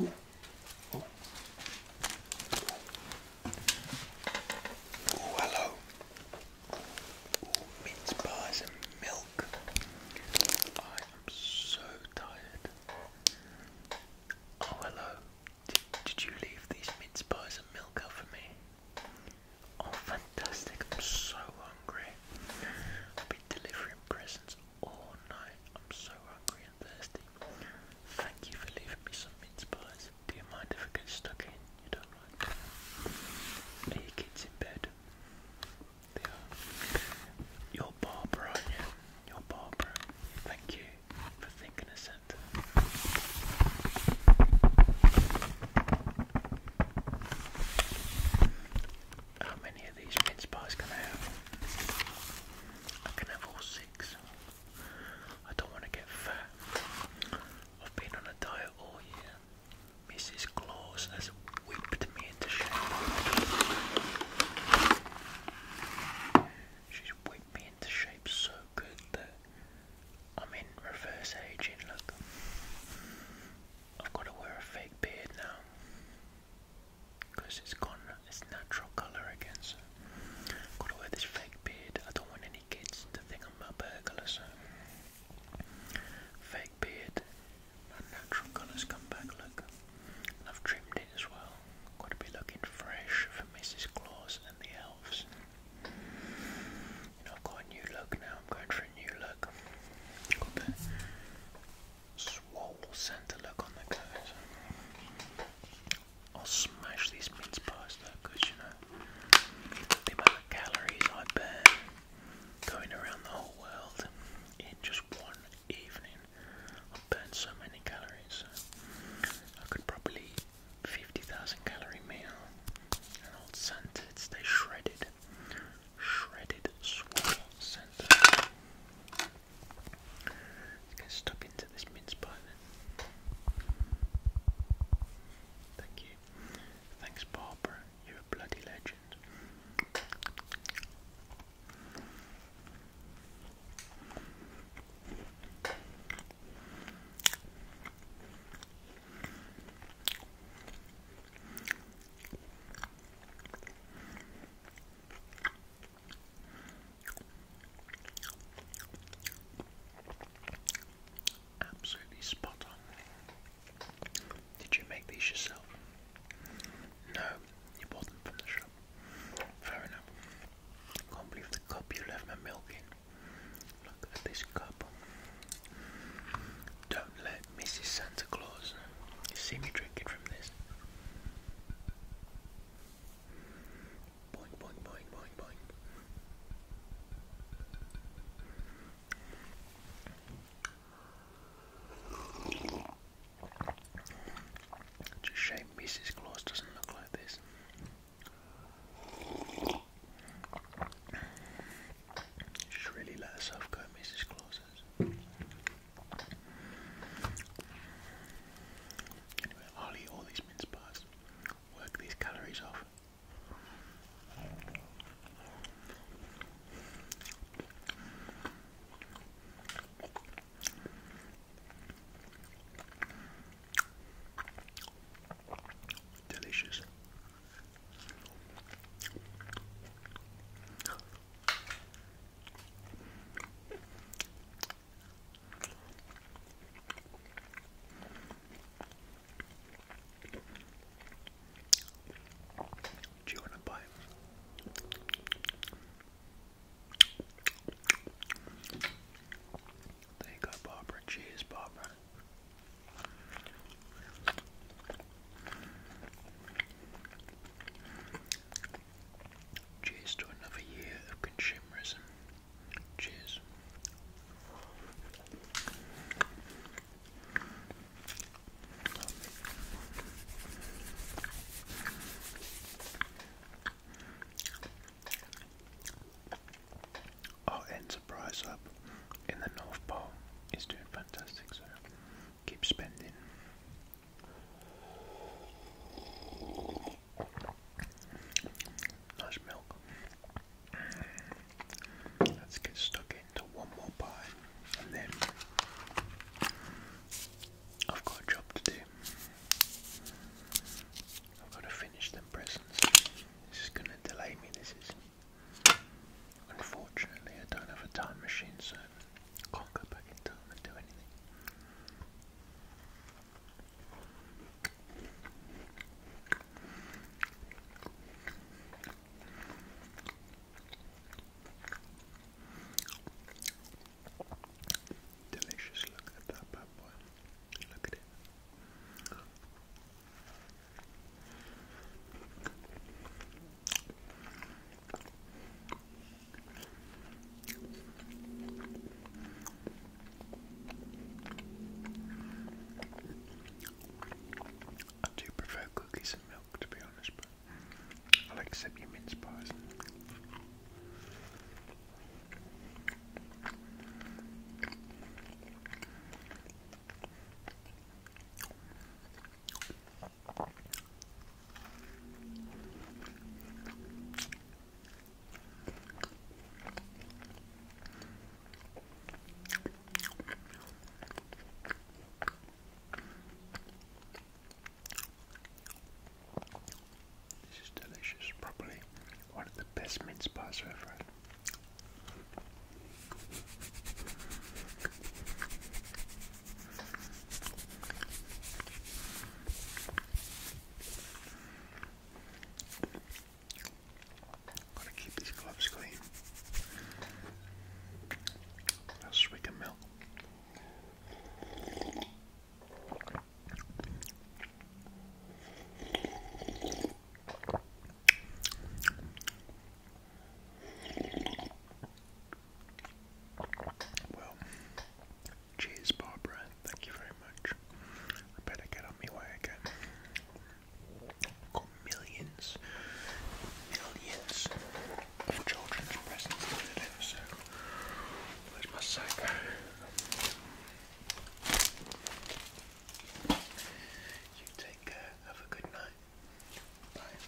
Oh, hello. mince pies and milk. I am so tired. Oh, hello. Did, you leave these mince pies and milk out for me? Oh, fantastic. I'm so hungry. I'll be delivering presents Oh no, I'm so hungry and thirsty. Thank you for leaving me some mince pies. Do you mind if I get stuck in? You don't like Are your kids in bed? They are. You're Barbara, aren't you? barbara are Barbara. Thank you for thinking of Santa how many of these mince pies can I have? I can have all six. I don't want to get fat. I've been on a diet all year. Mrs. Claus has whipped me into shape. She's whipped me into shape so good that I'm in reverse aging. Look, I've got to wear a fake beard now. Because it's gone its natural colour again, so gotta wear this fake beard. I don't want any kids to think I'm fake beard, natural colours come back, look. I've trimmed it as well. Gotta be looking fresh for Mrs. Claus and the elves. I've got a new look now, I'm going for a new look. Got the Swallow Santa look on the coat. I'll smash these mince pies though, because you know, the amount of calories I burn going around the whole world in just one evening. I burn so many calories. I could probably 50,000 calorie meal. An old Santa, it's they shredded. Shredded Swallow Santa. Let's get stuck into this mince pie then. Thank you. Thanks, Barbara. You're a bloody legend. Absolutely spot on. Did you make these yourself? No, you bought them from the shop. Fair enough. Can't believe the cup you left my milk in. Look at this cup. Don't let Mrs. San Santa Claus. You see me drinking from this. Boing, shame Mrs. Claus doesn't look like this. She really let herself go, Mrs. Claus. I'll eat all these mince pies, work these calories off. Delicious. Do you want a bite? There you go, Barbara. Cheers, Cheers to another year of consumerism. Cheers. Our enterprise up in the North Pole is doing fantastic, so keep spending. Nice milk. Let's get stuck into one more pie and then I've got a job to do. I've got to finish them presents. This is going to delay me, this is. Unfortunately, I don't have a time machine, so can't go back in time and do anything. Delicious, look at that bad boy. Look at it. I do prefer cookies and milk to be honest, but I'll accept your mince pies. This is delicious, probably one of the best mince pies I've ever had. Gotta keep these gloves clean. That's we can milk. Well, cheers, Barbara. Thank you very much. I better get on my way got millions, millions of children's presents where's my sack? You take care. Have a good night. Bye.